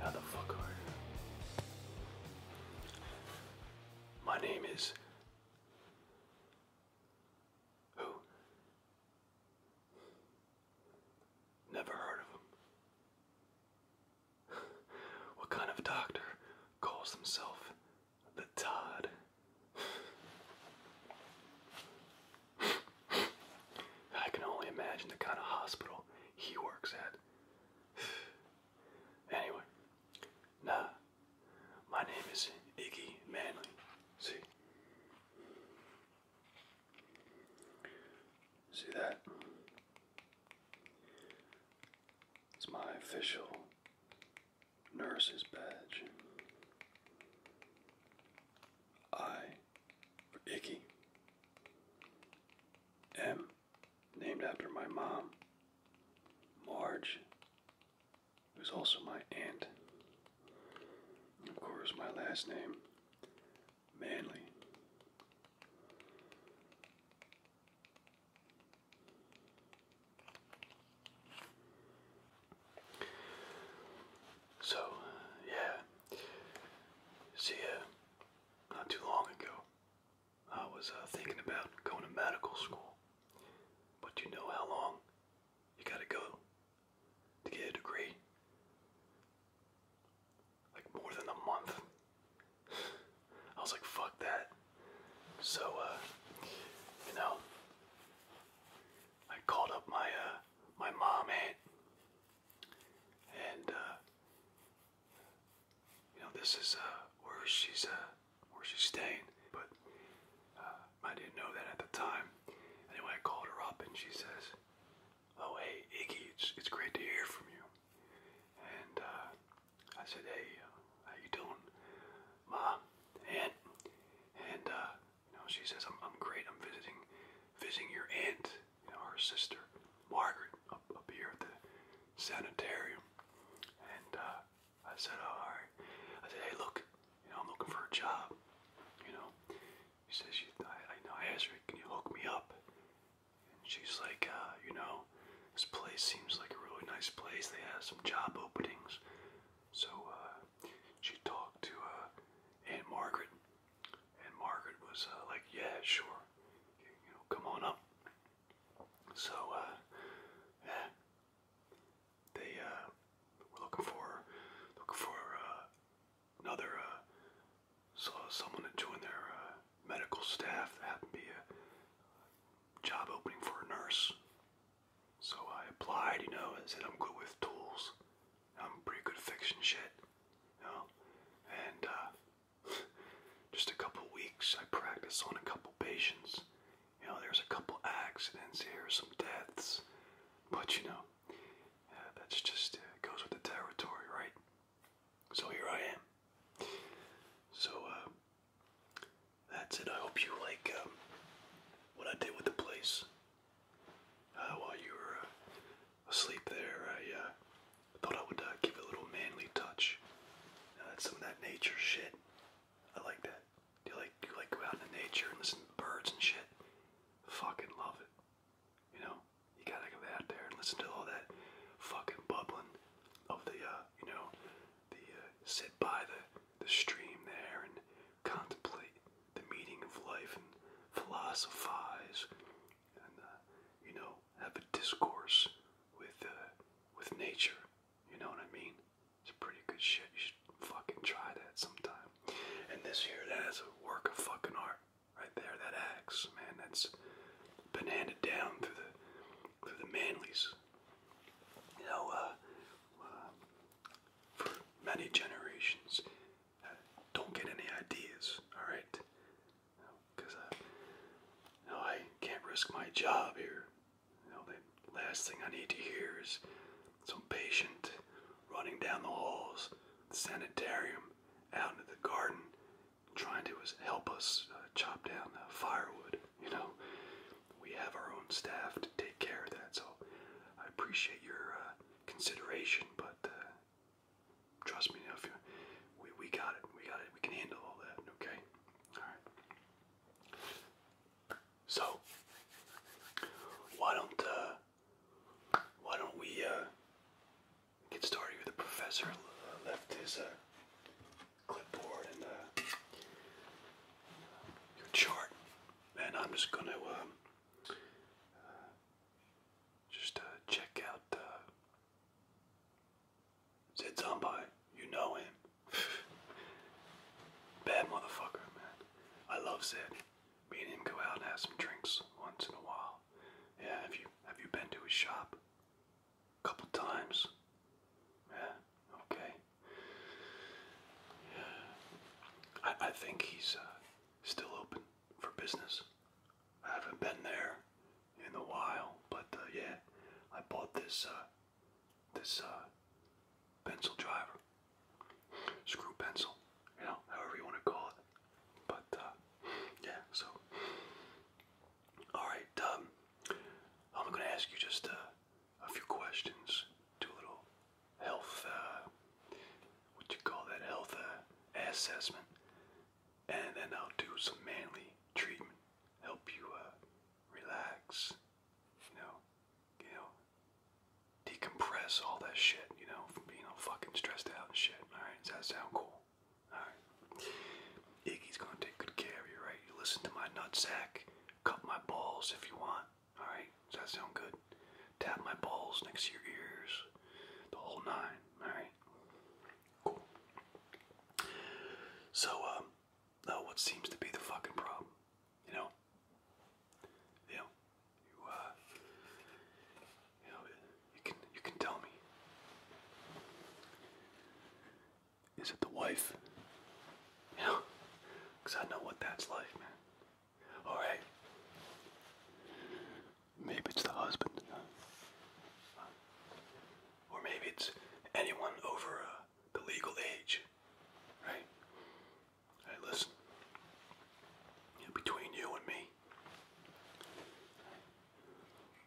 How the fuck are you? My name is. Who? Never heard of him. What kind of doctor calls himself the Todd? I can only imagine the kind of hospital he works at. Anyway, nah, my name is Iggy Manly. See? See that? It's my official nurse's badge. I for Icky M named after my mom, Marge, who's also my aunt. Of course, my last name, Manley. So, yeah, see ya not too long ago. I was uh, thinking about going to medical school, but you know how long you gotta go to get a degree? Like more than a month. I was like, fuck that. So, uh, you know, I called up my, uh, my mom aunt, and, uh, you know, this is uh, where she's uh, where she's staying. But uh, I didn't know that at the time. Anyway, I called her up and she says, "Oh, hey, Iggy, it's it's great to hear from you." And uh, I said, "Hey, uh, how you doing, Mom, Aunt?" And uh, you know, she says, "I'm I'm great. I'm visiting visiting your aunt, you know, her sister, Margaret, up, up here at the sanitarium. And uh, I said, oh, all right. I said, hey, look, you know, I'm looking for a job. You know, he says, you, I, I, you know, I asked her, can you hook me up? And she's like, uh, you know, this place seems like a really nice place. They have some job openings. So uh, she talked to uh, Aunt Margaret, and Margaret was uh, like, yeah, sure, you know, come on up. So, uh, yeah, they uh, were looking for looking for uh, another so someone to join their medical staff. That happened to be a job opening for a nurse. So I applied, you know, and said I'm good with tools. I'm pretty good at fixing shit, you know. And Just a couple weeks. I practice on a couple patients. You know, there's a couple accidents here, some deaths. But you know, that's just uh, goes with the territory, right? So here I am. So uh, that's it. I hope you like um, what I did with the place. Uh, while you were asleep there, I thought I would uh, give a little manly touch. that's uh, some of that nature shit. I like that. Do you like do you like go out in the nature and listen to birds and shit? Fucking love it. You know, you gotta go out there and listen to all that fucking bubbling of the uh, you know, the sit by the the stream there and contemplate the meaning of life and philosophize and you know have a discourse with uh, with nature. You know what I mean? It's pretty good shit. You should fucking try that sometime. And this here, that is a work of fucking art right there. That axe, man, that's been handed down through the through the Manleys. You know, uh, uh, for many generations. Uh, don't get any ideas, all right? because I, I can't risk my job here. You the last thing I need to hear is some patient running down the halls, the sanitarium, out into the garden, trying to help us uh, chop down uh, firewood. You know, we have our own staff to take care of that. So I appreciate your uh, consideration, but uh, trust me, if you, we we got it, we got it, we can handle all that. Okay. All right. So why don't uh, why don't we uh, get started with the professor left his uh, clipboard and uh, chart, and I'm just gonna um, just check out. Uh, Said somebody, you know him. Bad motherfucker, man. I love Zed. Me and him go out and have some drinks once in a while. Yeah, have you have you been to his shop? A couple times. Yeah, okay. Yeah. I I think he's uh, still open for business. I haven't been there in a while, but uh, yeah, I bought this uh, this uh, pencil driver, screw pencil, you know, however you want to call it. But uh, yeah, so all right, um, I'm gonna ask you just a few questions, do a little health, uh, what you call that health assessment and then I'll do some manly treatment, help you uh, relax, you know, you know, decompress all that shit, you know, from being all fucking stressed out and shit. All right, does that sound cool? All right, Iggy's gonna take good care of you, right? You listen to my nutsack, cut my balls if you want. All right, does that sound good? Tap my balls next to your ears, the whole nine. All right. Cool. So, um, now what seems to be the fucking problem? You know? You You, uh, you know, you can, you can tell me. Is it the wife? You I know what that's like, man. Alright. Maybe it's the husband or maybe it's anyone over uh, the legal age, right? Hey, listen, between you and me,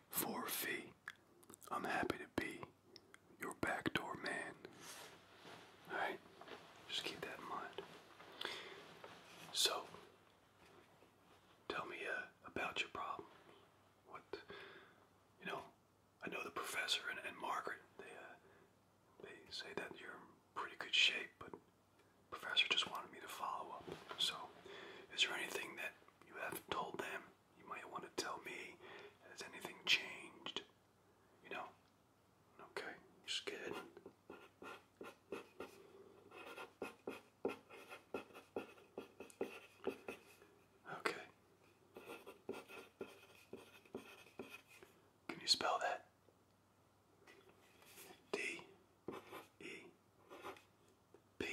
for fee, I'm happy to be your backdoor man. Alright? Just keep that in mind. So, tell me uh, about your problem. What, you know, I know the professor and, Margaret. They uh, they say that you're pretty good shape, but professor just wanted me to follow up. So, is there anything that you have told them? You might want to tell me. Has anything changed? You know? Okay. You're Okay. Can you spell that? D E P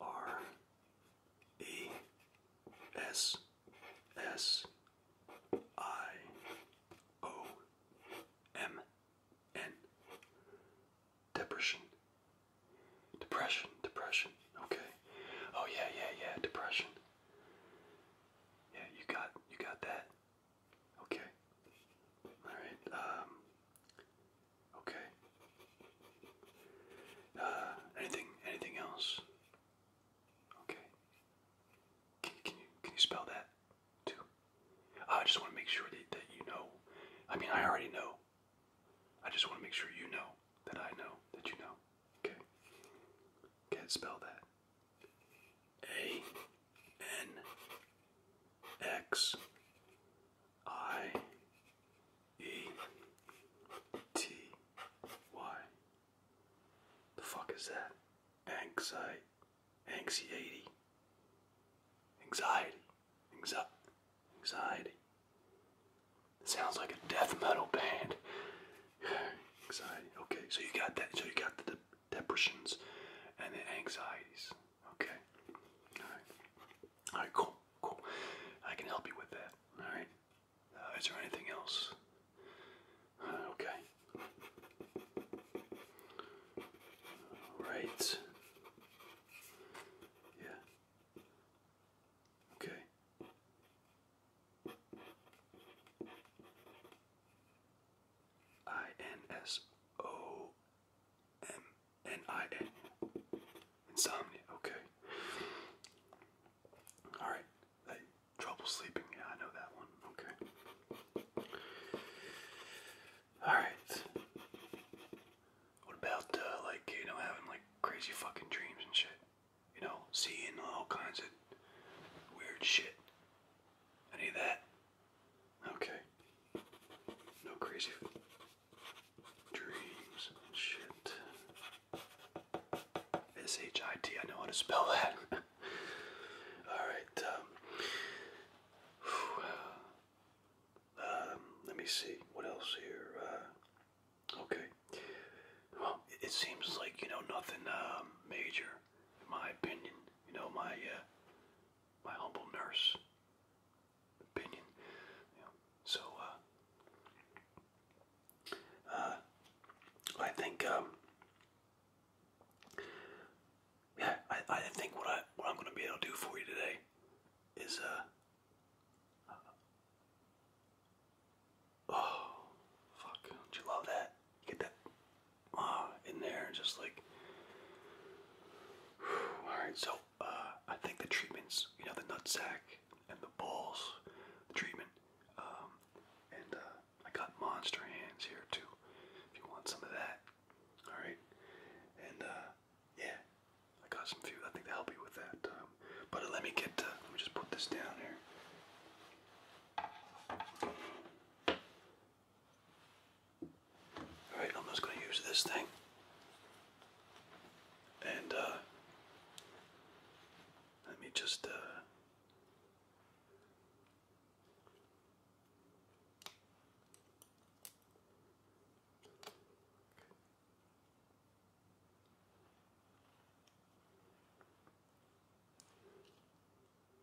R E S S I O M N Depression. Depression. Depression. Okay. Oh yeah, yeah, yeah. Depression. Yeah, you got you got that. Okay. Alright. Um Okay. Uh anything anything else? Okay. Can, can you can you spell that too? I just want to make sure that, that you know. I mean, I already know I just want to make sure you know that I know that you know. Okay? Can't spell that. A N X I E T Y. The fuck is that? Anxiety. Anxiety. Anxiety. Anxiety. Anxiety. sounds like a death metal band. anxiety. Okay, so you got that. So you got the depressions and the anxieties. Okay. All right. All right. Cool. Cool. I can help you with that. All right. Uh, is there anything else? Uh, okay. All right. Yeah. Okay. I N S O M N I N. Insomnia, okay. Alright. trouble sleeping, yeah, I know that one. Okay. Alright. What about uh, like you know having like crazy fucking dreams and shit? You know, seeing all kinds of weird shit. Any of that? Okay. No crazy dreams and shit. S H I T. I know how to spell that. all right. Um, um, let me see. What else here? Uh, Okay. Well, it, seems like, you know, nothing um, major, in my opinion. You know, my, uh, my humble nurse opinion. so, uh, uh, I think, um, yeah, I, I think what I what I'm gonna be able to do for you today is, uh, Oh, fuck. Don't you love that? Get that uh, in there just like. Alright, so uh, I think the treatments, you know, the nut sack and the balls, treatment, um, and uh, I got monster hands here too. If you want some of that, all right. And uh, yeah, I got some food. I think they help you with that. Um, but let me get. Uh, let me just put this down here. All right, I'm just gonna use this thing. And uh, let me just. Uh,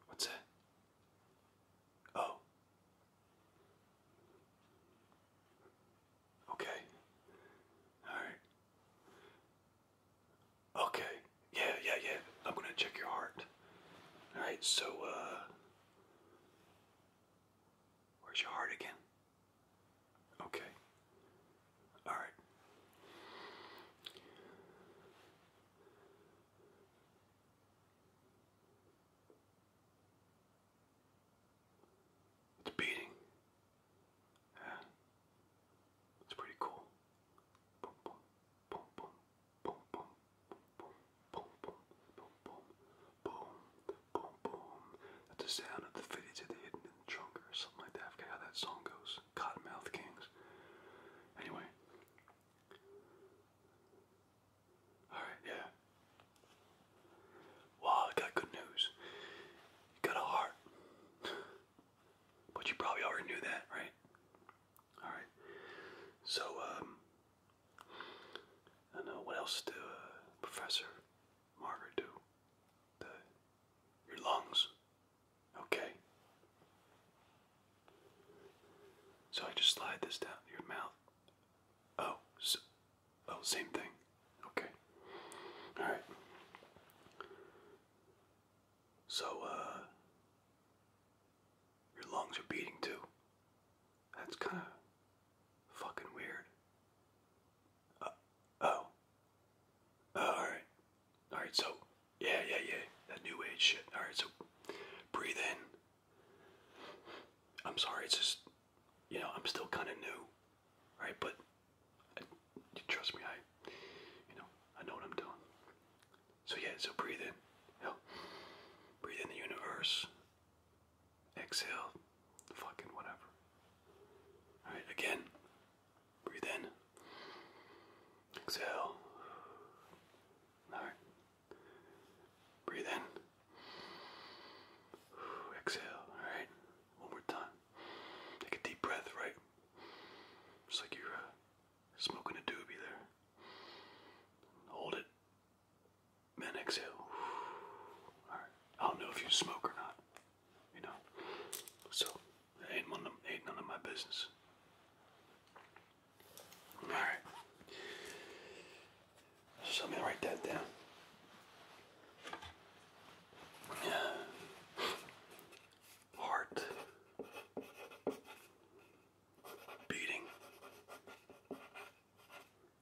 What's that? Oh. Okay. All right. Okay. Yeah, yeah, yeah. I'm going to check your heart. All right. So uh, Where's your heart again? Okay. All right. It's beating. Yeah. It's pretty cool boom, boom, boom. That's the sound of the fidgets that they hidden in the trunk or something like that. forget how that song goes. Cottonmouth Kings. Anyway. Alright, yeah. Wow, I got good news. You got a heart. but you probably already knew that, right? Alright. So, um, I know, what else do uh, Professor Margaret do? the your lungs. Okay. So I just slide this down your mouth. Oh, oh, same thing. Okay. All right. So uh your lungs are beating too. That's kind of Fucking weird. Uh, oh. oh alright. Alright, so, yeah, yeah, yeah. That new age shit. Alright, so, breathe in. I'm sorry, it's just, you know, I'm still kind of new. Right, but, trust me, I, you know, I know what I'm doing. So, yeah, so breathe in. You breathe in the universe exhale, fucking whatever. Alright, again, breathe in, exhale. Alright, breathe in, exhale. Alright, one more time. Take a deep breath, right? Just like you're uh, smoking a doobie there. Hold it. Then exhale. Alright. I don't know if you smoke or not. You know, so it ain't, one of, ain't none of my business. All right. So me write that down. Uh, heart beating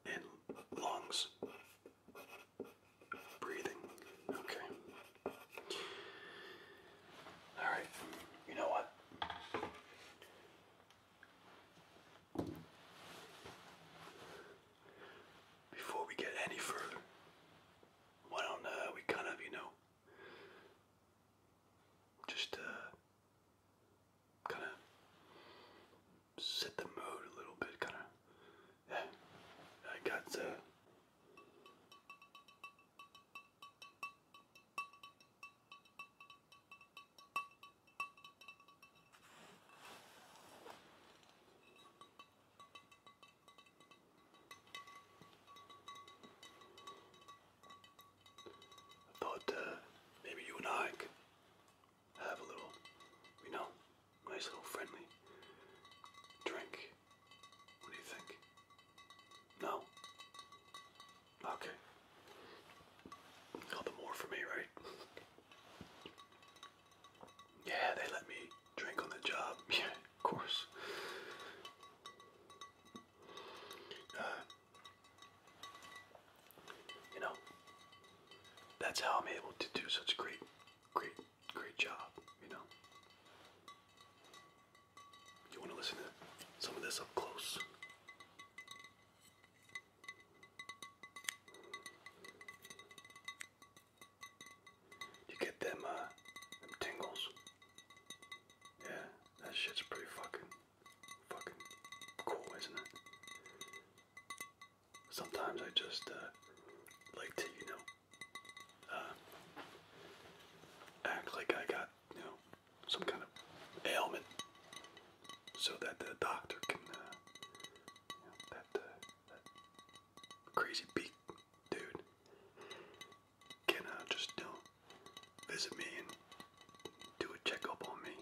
in lungs. Breathing. Okay. Alright, you know what? Before we get any further, why don't uh, we kind of, you know, just uh, kind of set the mood a little bit, kind of. Yeah, I got the. I thought uh, maybe you and I could have a little, you know, Nice little friendly drink. What do you think? No? Okay. All the more for me, right? yeah, they let me drink on the job. Yeah, of course. Uh, you know, that's how I'm able to do such great, great great job, you know. You want to listen to some of this up close? You get them, uh, them tingles? Yeah, that shit's pretty fucking, fucking cool, isn't it? sometimes I just uh, like to, you know, uh, act like I got, you know, some kind of ailment so that the doctor can, uh, you know, that, that crazy beak dude can just, you know, visit me and do a checkup on me.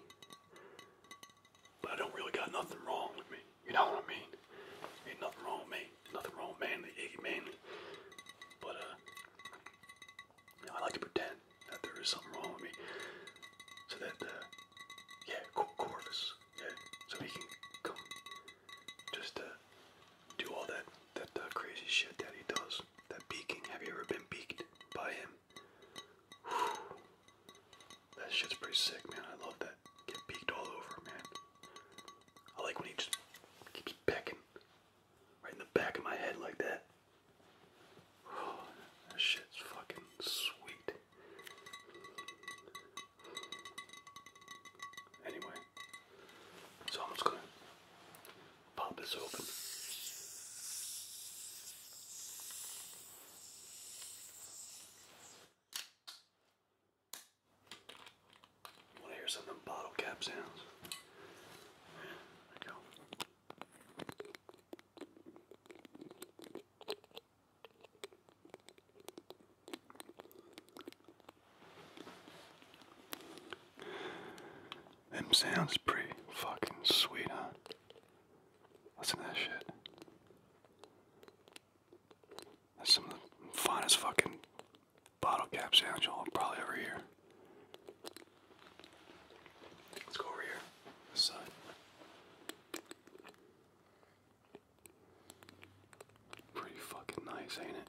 But I don't really got nothing wrong with me. You know what I mean? Ain't nothing wrong with me. Nothing wrong with manly, Manly. But, uh, I like to pretend that there is something wrong with me. So that, uh, yeah, Corvus, yeah, so he can come just, uh, do all that, that uh, crazy shit that he does. That beaking. Have you ever been beaked by him? That shit's pretty sick, man. I love that. Get peeked all over, man. I like when he just keeps pecking right in the back of my head like that. Oh, that shit's fucking sweet. Anyway, so I'm just gonna pop this open. Want to hear some of them bottle cap sounds? There we go. Them sounds pretty fucking sweet, huh? Listen that shit. That's some of the finest fucking bottle caps, sounds you probably ever hear. Let's go over here. This Pretty fucking nice, ain't it?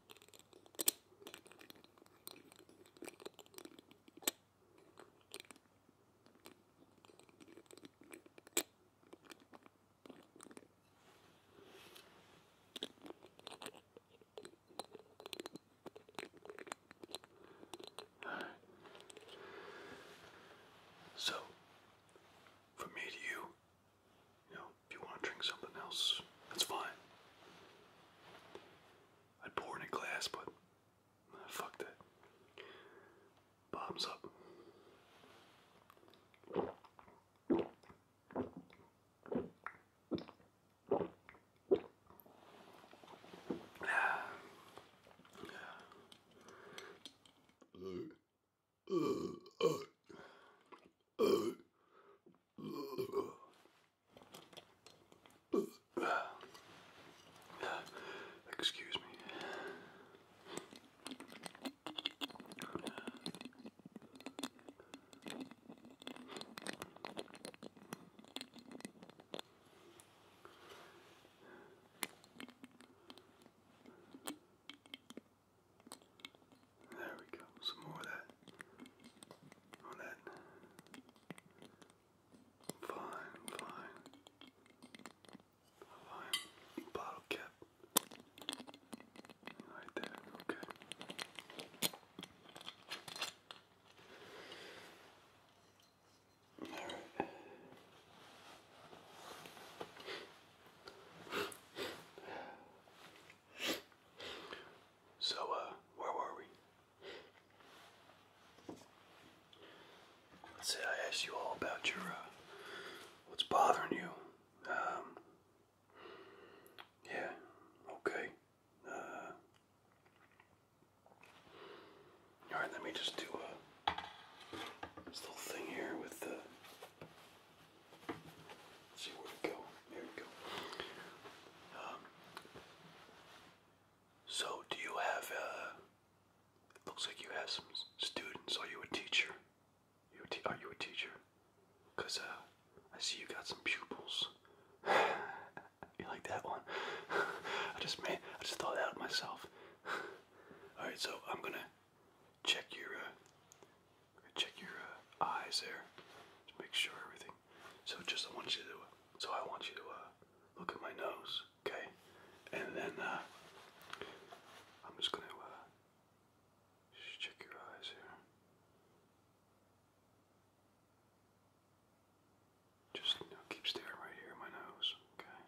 So, from me to you, you know, if you want to drink something else, that's fine i pour in a glass, but fuck that. Bob's up. Excuse me. There we go. Some more of that on that fine, fine, fine bottle cap right there. Okay. All right. So, uh, where were we? Let's see. I asked you all about your uh, what's bothering you. Um, yeah, okay. Uh, all right, let me just do uh, little thing here with the. see where to go. There we go. Um, so, do you have, uh, it looks like you have some students. Are you a teacher? are you a teacher? Because, uh, I see you got some pupils. you like that one? I just made, I just thought that out myself. Alright, so I'm gonna check your, uh, check your, uh, eyes there. Just make sure everything so just I want you to, so I want you to uh, look at my nose, okay? And then uh, I'm just gonna uh, just check your eyes here. Just keep staring right here at my nose, okay?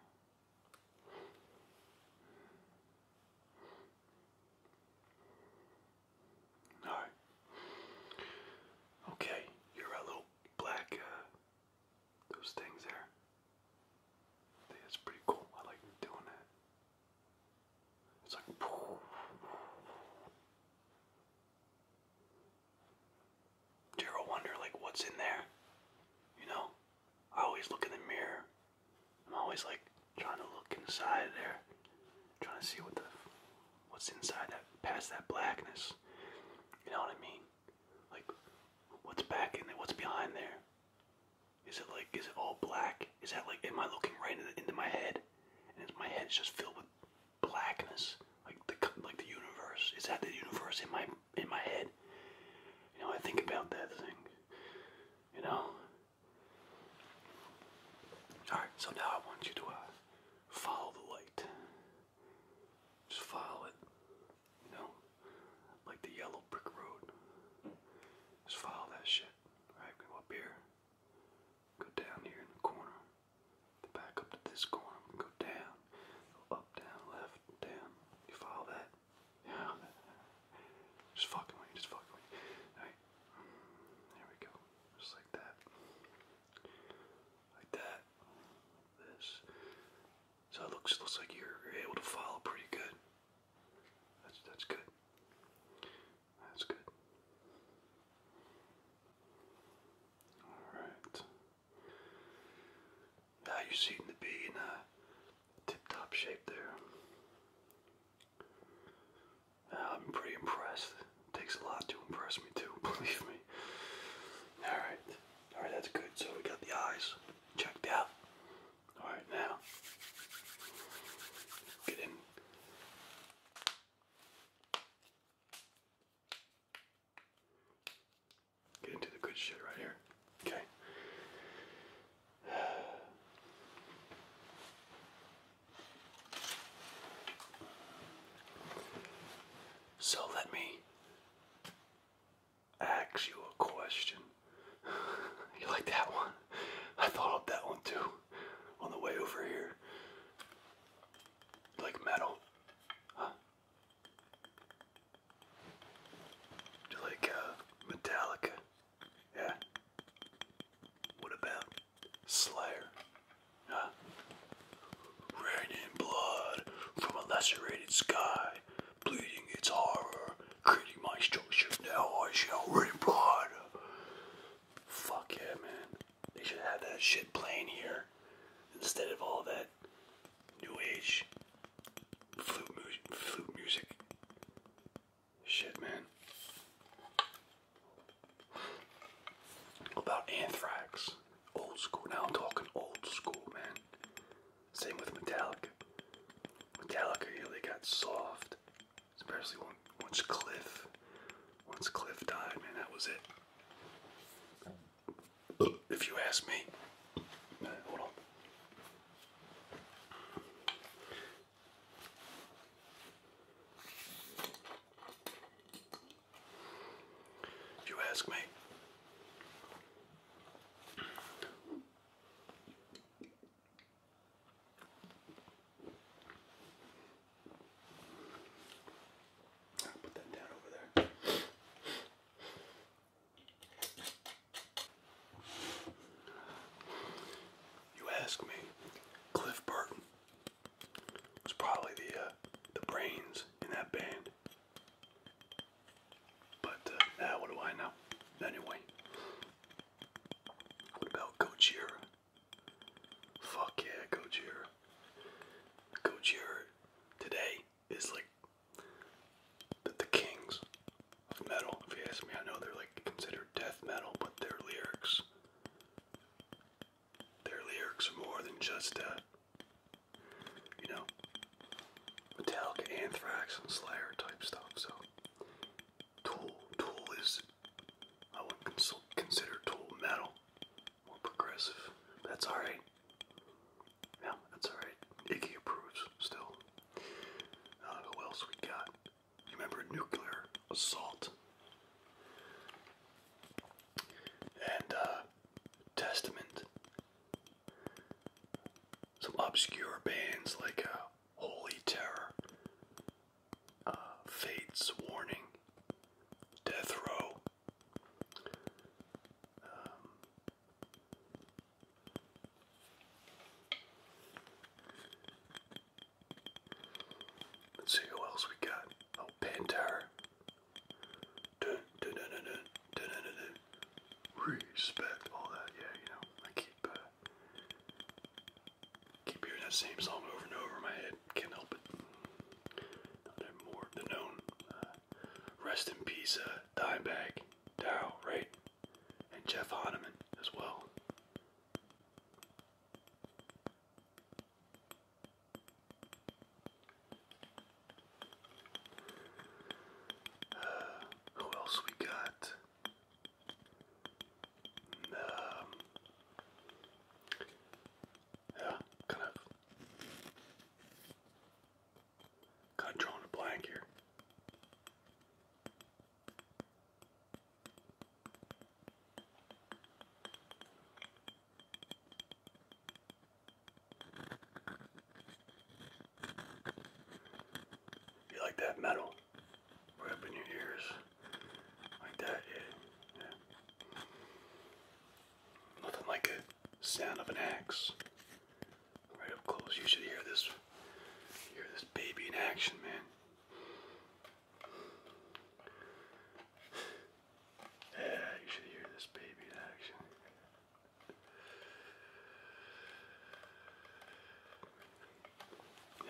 All right. Okay, you're a little black. Uh, those things there. that's pretty cool. I like doing that. It's like. Do you wonder like what's in there? You know, I always look in the mirror. I'm always like trying to look inside there, trying to see what the what's inside that past that blackness. You know what I mean? Like what's back in there? What's behind there? Is it like is it all black? Is that like am I looking right into, my head? And my head is just filled with blackness, like the like the universe. Is that the universe in my in my head? You know, I think about that thing. You know. All right, so now I want you to uh, follow the light. Just follow it. You know? Like the yellow brick road. Just follow that shit. Alright, go up here. Go down here in the corner. Then back up to this corner. Go down. Go up, down, left, down. You follow that? Yeah. Just fucking with just fucking with Alright. There we go. Just like that like that, this. So it looks looks like you're, able to follow pretty good. That's that's good. That's good. Alright. Now you seem to be in a uh, tip top shape there. I'm pretty impressed. It takes a lot to impress me too, believe me. Alright. Alright, that's good. So we got the eyes checked out. Alright, now. Get in. Get into the good shit right here. Okay. So let me ask you a question. you like that one? I thought of that one too on the way over here. like metal? Do you like uh, Metallica? Yeah. What about Slayer. Huh? Raining blood from a lacerated sky, bleeding its horror, creating my structure. Now I shall rain blood. Fuck yeah, man. They should have that shit playing here instead of all that new age flute, flute music. Shit, man about Anthrax. Old school. Now I'm talking old school, man. Same with Metallica. Metallica, you got soft. Especially when, once Cliff, once Cliff died, man, that was it. If you ask me, hold on. If you ask me. I'll put that down over there. You ask me, Cliff Burton it's probably the uh, the brains in that band. But uh, what do I know? Anyway, what about Gojira? Fuck yeah, Gojira. Gojira today is like the, the kings of metal. If you ask me, I know they're like considered death metal, but their lyrics their lyrics are more than just, uh, you know, Metallica, Anthrax, and Slayer type stuff. So, Tool, Tool is, I would cons consider Tool metal, more progressive. That's all right. Yeah, that's all right. Iggy approves still. who else we got? You remember Nuclear Assault? and uh, Testament. Some obscure bands like uh, Holy Terror, uh, Fate's Warning, Death Row. Um, see who else we got. Oh, Panther. Dun, dun, dun, dun, dun, dun, dun, Respect all that, yeah, you know. I keep uh, keep hearing that same song over and over in my head. Can't help it. Now they more than known. Uh, rest in peace, uh, Dimebag, Dow, right? And Jeff Hanneman as well who else we got? Um, yeah, kind of, kind of drawing a blank here. You like that metal? Right in your ears. Like that, yeah. yeah. Nothing like a sound of an axe. Right up close. You should hear this hear this baby in action, man. Yeah, you should hear this baby in action.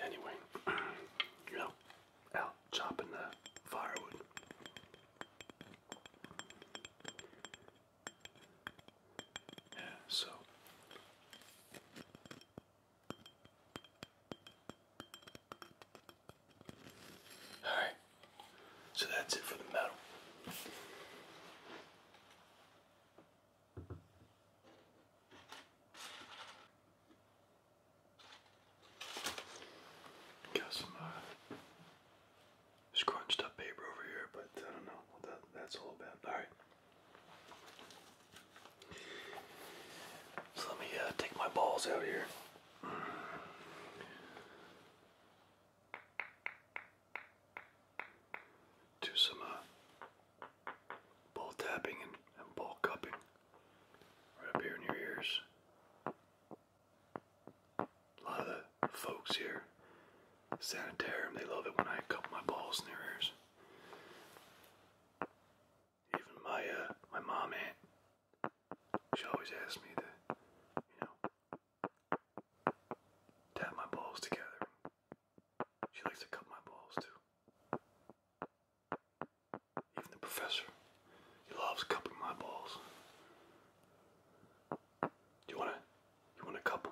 Anyway, you know, out chopping the firewood. Yeah, so. Alright, so that's it for the metal. Got some uh, scrunched up paper over here, but I don't know that's all about. Alright. So let me uh, take my balls out here do some uh, ball tapping and, ball cupping right up here in your ears. A lot of the folks here, sanitarium, they love it when I cup my balls in their ears. Even my uh, my mom she always asks me to, you know, tap my balls together. She likes to cut my balls too. Even the professor, he loves cupping my balls. Do you wanna, you wanna cup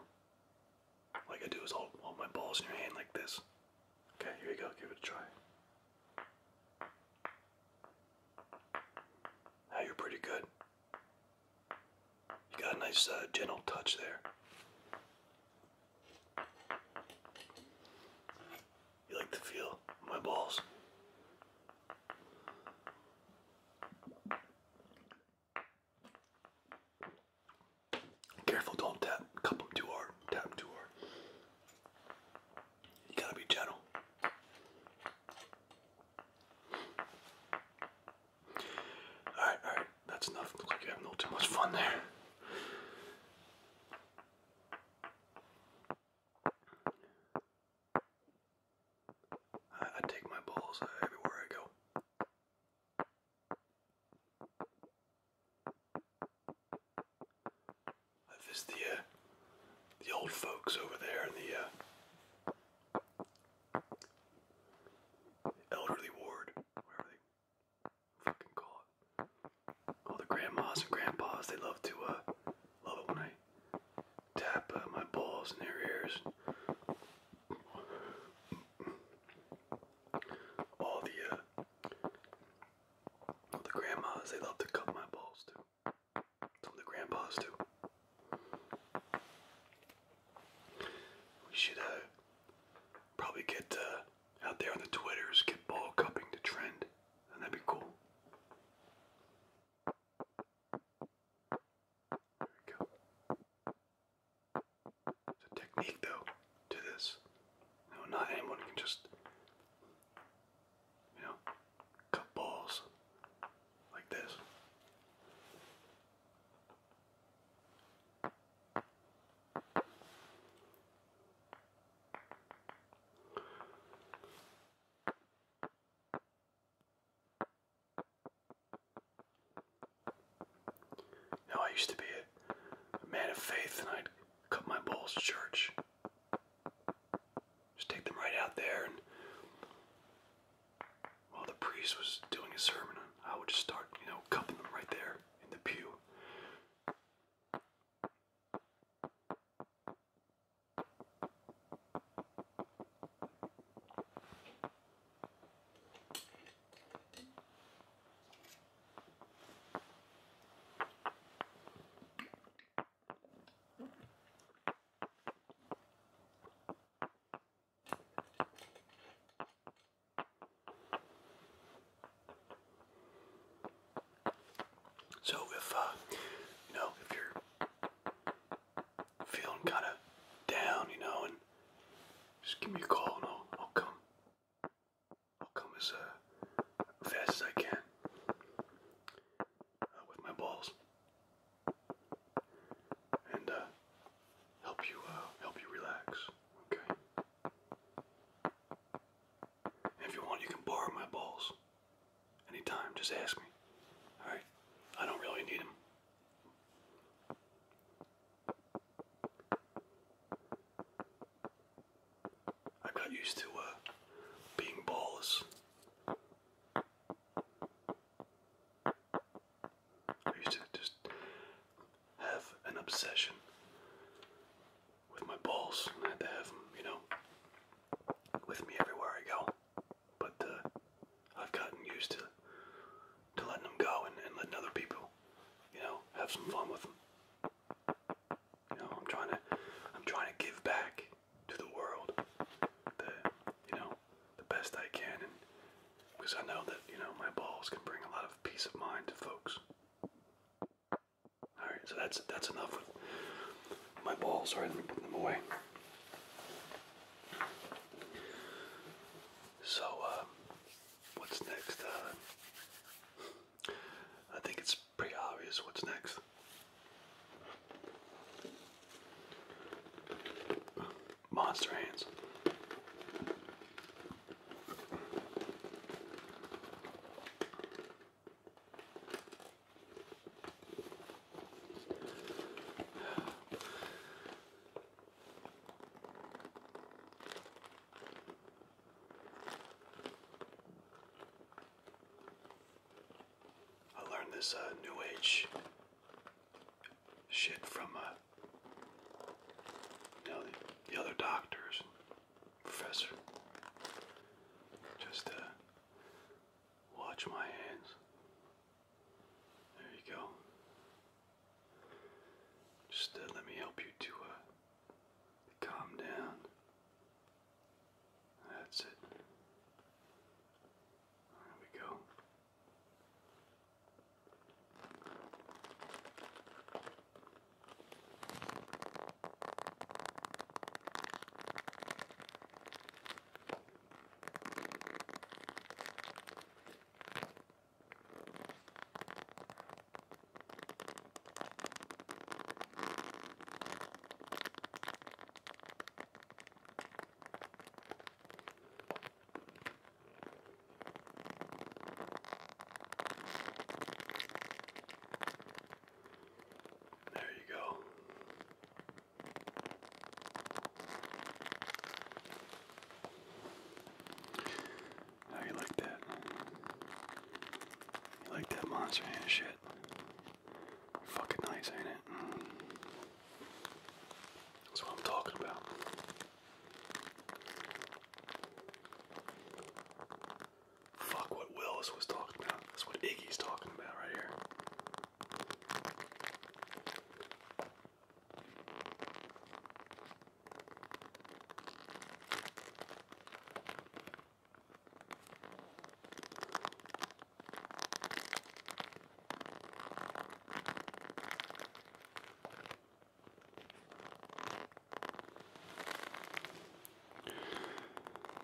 All I gotta do is hold, hold my balls in your hand like this. Okay, here you go. Give it a try. Now you're pretty good. You got a nice uh, gentle touch there. You like the feel my balls? Careful, don't tap. Cup too hard. Tap too hard. You gotta be gentle. Alright, alright, that's enough. Looks like you're having a little too much fun there. I, take my balls everywhere I go. I visit the uh, the old folks over there in the uh, elderly ward, wherever they fucking call it. All the grandmas and grandpas, they love to uh, love it when I tap my balls in their ears. All the all the grandmas, they love to cup my balls too. Some the grandpas do. We should uh, probably get uh, out there on the Twitters, get ball cupping to trend, and that'd be cool. There we go. It's a technique, though, to this. No, not anyone can just you know, cut balls like this. Now I used to be a, a man of faith and I'd cut my balls to church. Just take them right out there, and while the priest was doing his sermon, I would just start, you know, cupping them right there in the pew. So if uh, you know if you're feeling kind of down, you know, just give me a call and I'll, I'll come. I'll come as uh, fast as I can with my balls and uh, help you uh, help you relax. Okay. if you want, you can borrow my balls anytime. Just ask me. All right. I don't really need them. I got used to uh, being ballless. I used to just have an obsession with my balls. I had to have them, you know, with me everywhere I go. But uh, I've gotten used to to letting them go and, and letting other people, you know, have some fun with them. You know, I'm trying to I'm trying to give back to the world the you know the best I can, and because I know that you know my balls can bring a lot of peace of mind to folks. All right, so that's that's enough with my balls. Sorry, let me put them away. So, uh, what's next? Uh, I think it's pretty obvious what's next. Monster hands. I learned this uh, new age shit from uh, the, other doctors, professor. Just uh, watch my hands. There you go. Just uh, let me help you to uh, calm down. That's it. There we go. There you go. How you like that? like that monster hand shit? Fucking nice, ain't it? That's what I'm talking about. Fuck what Willis was talking about. That's what Iggy's talking about right here.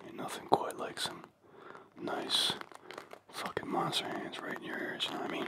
Ain't nothing quite like some nice fucking monster hands right in your ears, I mean?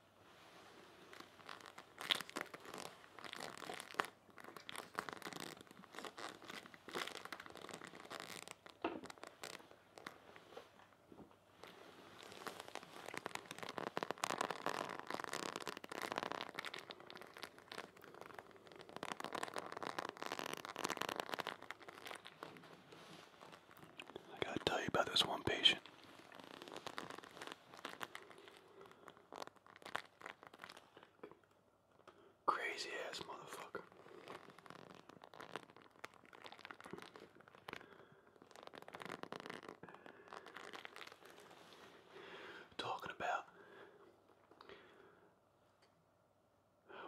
I gotta tell you about this one patient. Crazy ass motherfucker. Talking about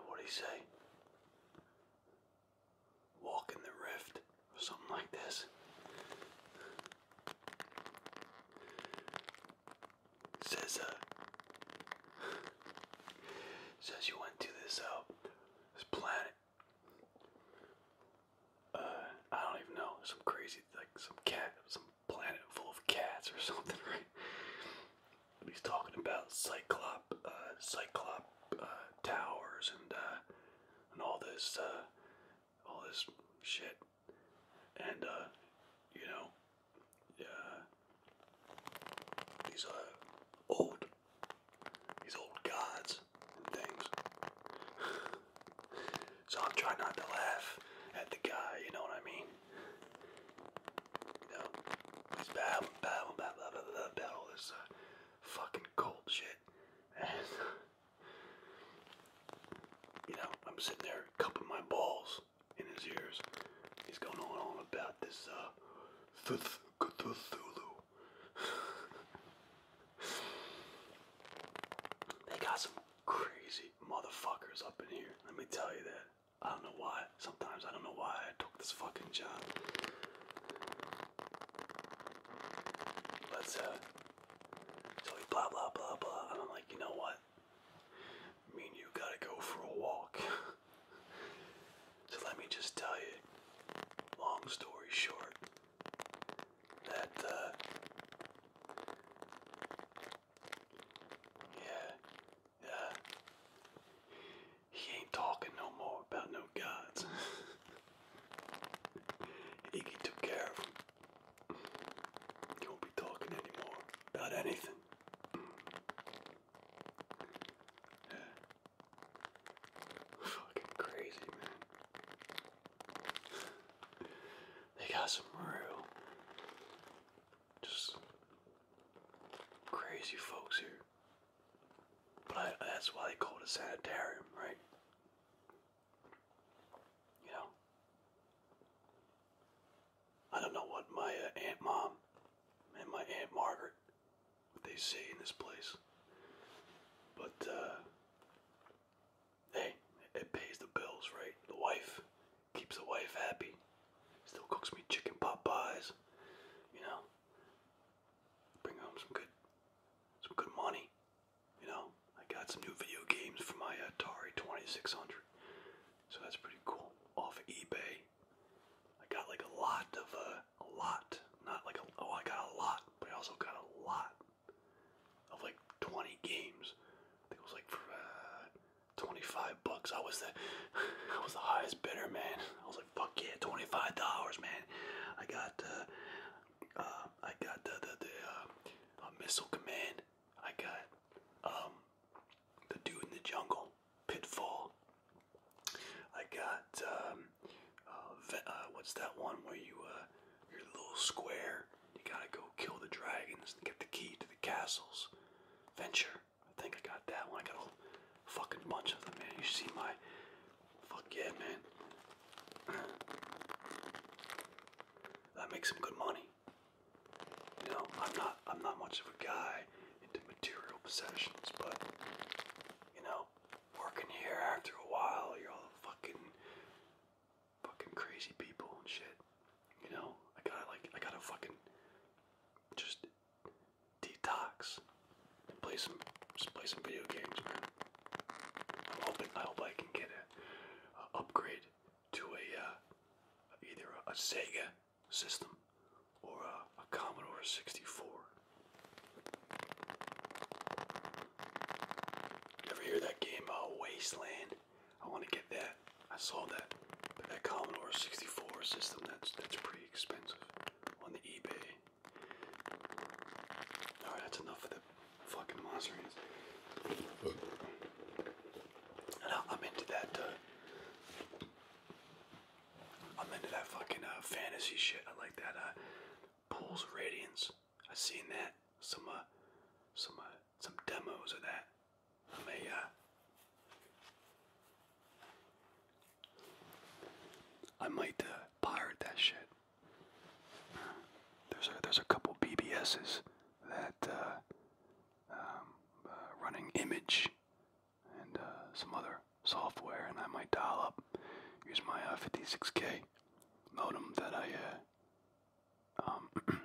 what do you say? Walk the rift something like this. says uh says you went to this uh this planet. Uh I don't even know, some crazy like some cat some planet full of cats or something, right? But he's talking about cyclop uh cyclop uh towers and uh, and all this uh all this shit. And, uh, you know, uh, these uh, old, these old gods and things. so I'm trying not to laugh at the guy, you know what I mean? You he's battle, battle, battle, battle, battle, this uh, fucking cold shit. You know, I'm sitting there cupping my balls in his ears. He's going on and on about this uh, Thuth Cthulhu. they got some crazy motherfuckers up in here. Let me tell you that. I don't know why. Sometimes I don't know why I took this fucking job. Let's uh, so we blah blah blah blah, and I'm like, you know what? mean, you gotta go for a walk. so let me just tell you, long story short, that uh, yeah, yeah, he ain't talking no more about no gods. Iggy took care of you won't be talking anymore about anything. Fucking crazy, man. They got some real, just crazy folks here. But that's why they call it sanitarium, right? You know? I don't know what my uh, Aunt Mom and my Aunt Margaret, what they say in this place. But, uh, hey, it pays the bills, right? The wife keeps the wife happy. Still cooks me chicken pot pies, you know? Bring home some good, some good money you know, I got some new video games for my Atari 2600. So that's pretty cool. Off eBay. I got like a lot of, uh, a lot. Not like a, oh, I got a lot, but I also got a lot of like 20 games. I think it was like uh, 25 bucks. I was the, I was the highest bidder, man. I was like, fuck yeah, 25 dollars, man. I got, uh, uh, I got the, the, the uh, a Missile Command. I got um, the Dude in the Jungle, Pitfall. I got um, uh, uh, what's that one where you uh, are little square. You gotta go kill the dragons and get the key to the castles. Venture. I think I got that one. I got a fucking bunch of them, man. You see my fuck yeah, man. That makes some good money. You know, I'm not I'm not much of a guy into material possessions, but you know, working here after a while, you're all fucking fucking crazy people and shit. You know, I gotta like I gotta fucking just detox and play some just play some video games, man. I'm hoping I hope I can get a, upgrade to a uh, either a, Sega system or a, Commodore 64. ever hear that game uh, Wasteland? I want to get that. I saw that. But that Commodore 64 system, that's that's pretty expensive on the eBay. Alright, that's enough of the fucking monsters, And I'm into that. Uh, I'm into that fucking uh, fantasy shit. I like that. Uh, Pools Radiance. I seen that. Some uh, some uh, some demos of that. I'm a. Uh, I might uh, pirate that shit. There's a there's a couple BBSs that uh, um, uh, running image and uh, some other software, and I might dial up use my 56k uh, modem that I um,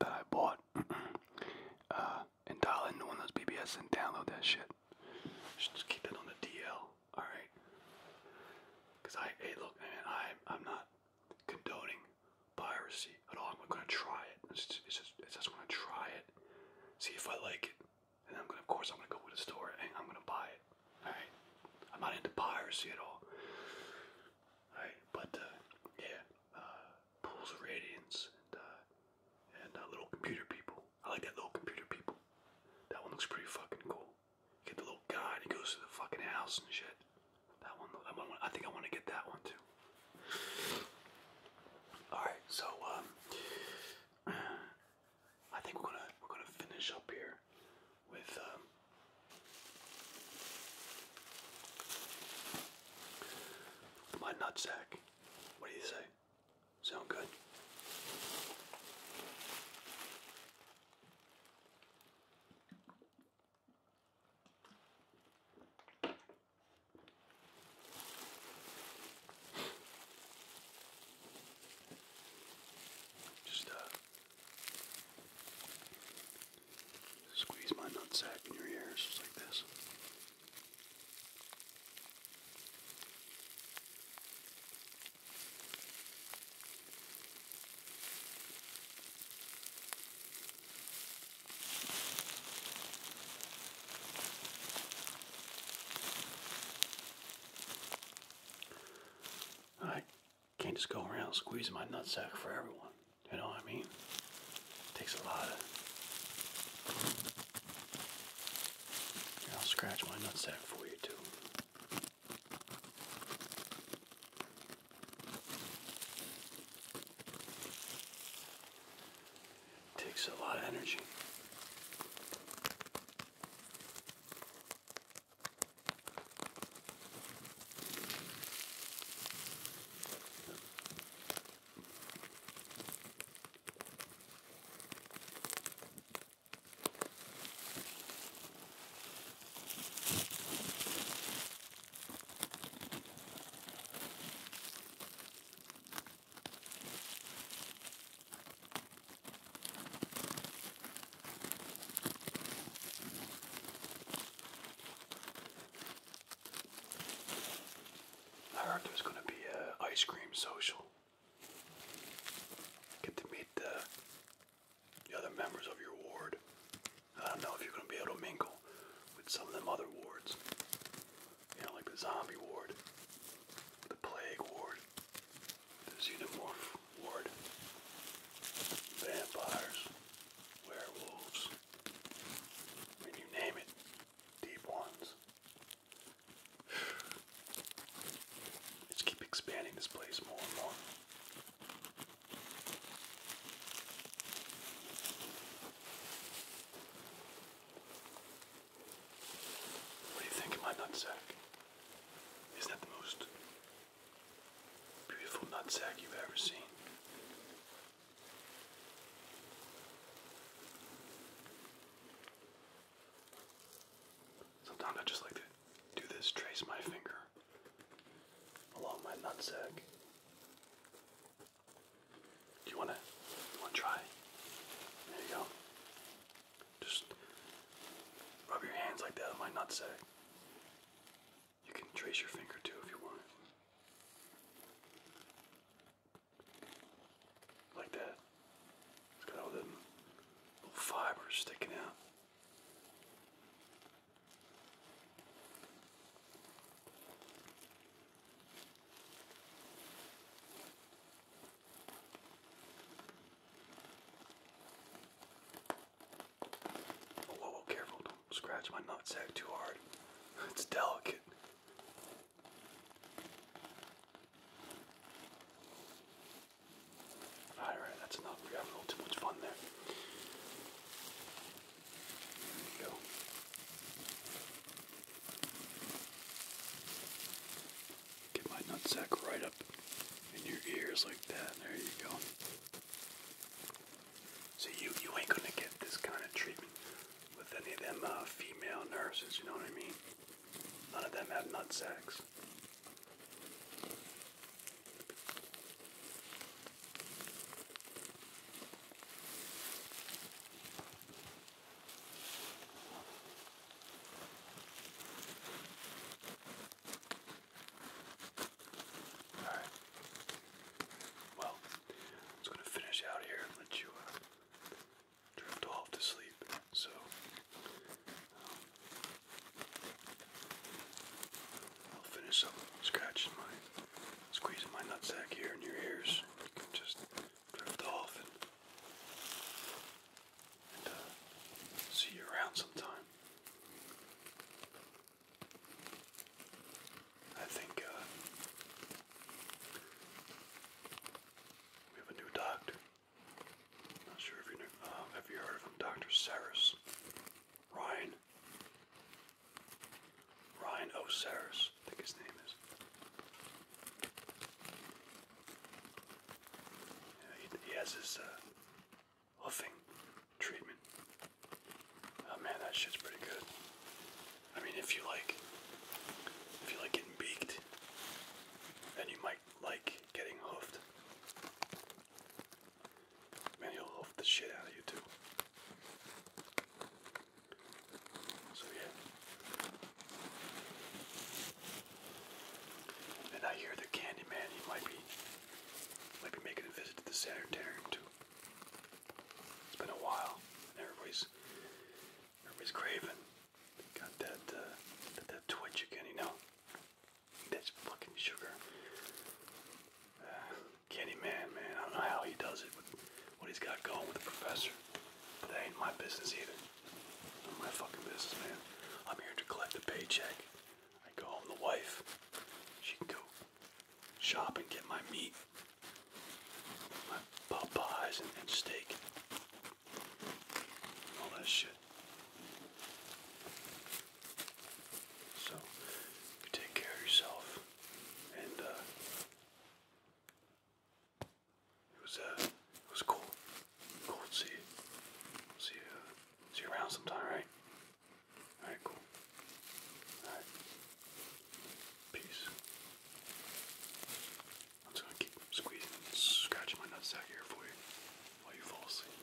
that I bought and dial into one of those BBS and download that shit. Just keep it on the DL, all right? Cause I hey look man, I I'm not condoning piracy at all. Oh, I'm gonna try it. It's just, it's just, gonna try it, see if I like it, and I'm gonna, of course, I'm gonna go to the store and I'm gonna buy it. All right, I'm not into piracy at all. All right, but uh, yeah, uh, pools of radiance and uh, and uh, little computer people. I like that little computer people. That one looks pretty fucking cool get the little guy he goes through the fucking house and shit. That one, that one I think I want to get that one too. Alright, so um I think we're gonna we're gonna finish up here with um my nutsack. What do you say? Sound good? Just uh, squeeze my nutsack in your ears just like this. I can't just go around squeezing my nutsack for everyone. You know what I mean? It takes a lot of. I'll scratch my nutsack for you too. Takes a lot of energy. I heard there's gonna be a uh, ice cream social. Get to meet the the other members of your ward. I don't know if you're going to be able to mingle with some of them other wards. You know, like the zombie ward, the plague ward, the xenomorph ward, vampires, werewolves. I mean, you name it. Deep ones. let keep expanding this place more and more. What do you think of my nutsack? Isn't that the most beautiful nutsack you've ever seen? Sometimes I just like to do this, trace my finger along my nutsack. Do you wanna wanna try? There you go. Just rub your hands like that on my nutsack. You can trace your finger too if you want. Like that. It's got all the little fibers sticking out. Oh, whoa, whoa, careful, don't scratch my nutsack too hard. It's delicate. Alright, right, that's enough. We're having a little too much fun there. Get my nutsack right up in your ears like that. There you go. So you you ain't gonna get this kind of treatment with any of them uh, female nurses. You know what I mean? None of them have nut sacks. All right. Well, I'm just gonna finish out here and let you uh, drift off to sleep. So, um, I'll finish up scratching my, squeezing my nutsack here in your ears. You can just drift off and, uh, see you around sometime. I think uh, we have a new doctor. not sure if you uh, have heard of Doctor Saris Ryan. Ryan Osiris, I think his name is. Yeah, he, he has his uh, huffing treatment. Oh man, that shit's pretty good. I mean, if you like, if you like getting beaked, then you might like getting hoofed. Man, he'll love the shit out of you too. So yeah. And I hear the Candyman, he might be might be making a visit to the sanitarium too. It's been a while, and everybody's everybody's craving. Got that uh, that, twitch again, you know. That's fucking sugar. Ah. Candyman, man. I don't know how he does it with what he's got going with the professor. But that ain't my business either. Not my fucking business, man. I'm here to collect a paycheck. I go home the wife. She can go shop and get my meat. My Popeyes and, and All that shit. So, take care of yourself and uh, it was uh, it was cool. Cool to see you. See you, see you around sometime, right? All right, cool. All right, peace. I'm just gonna keep squeezing and scratching my nutsack here for you while you fall asleep.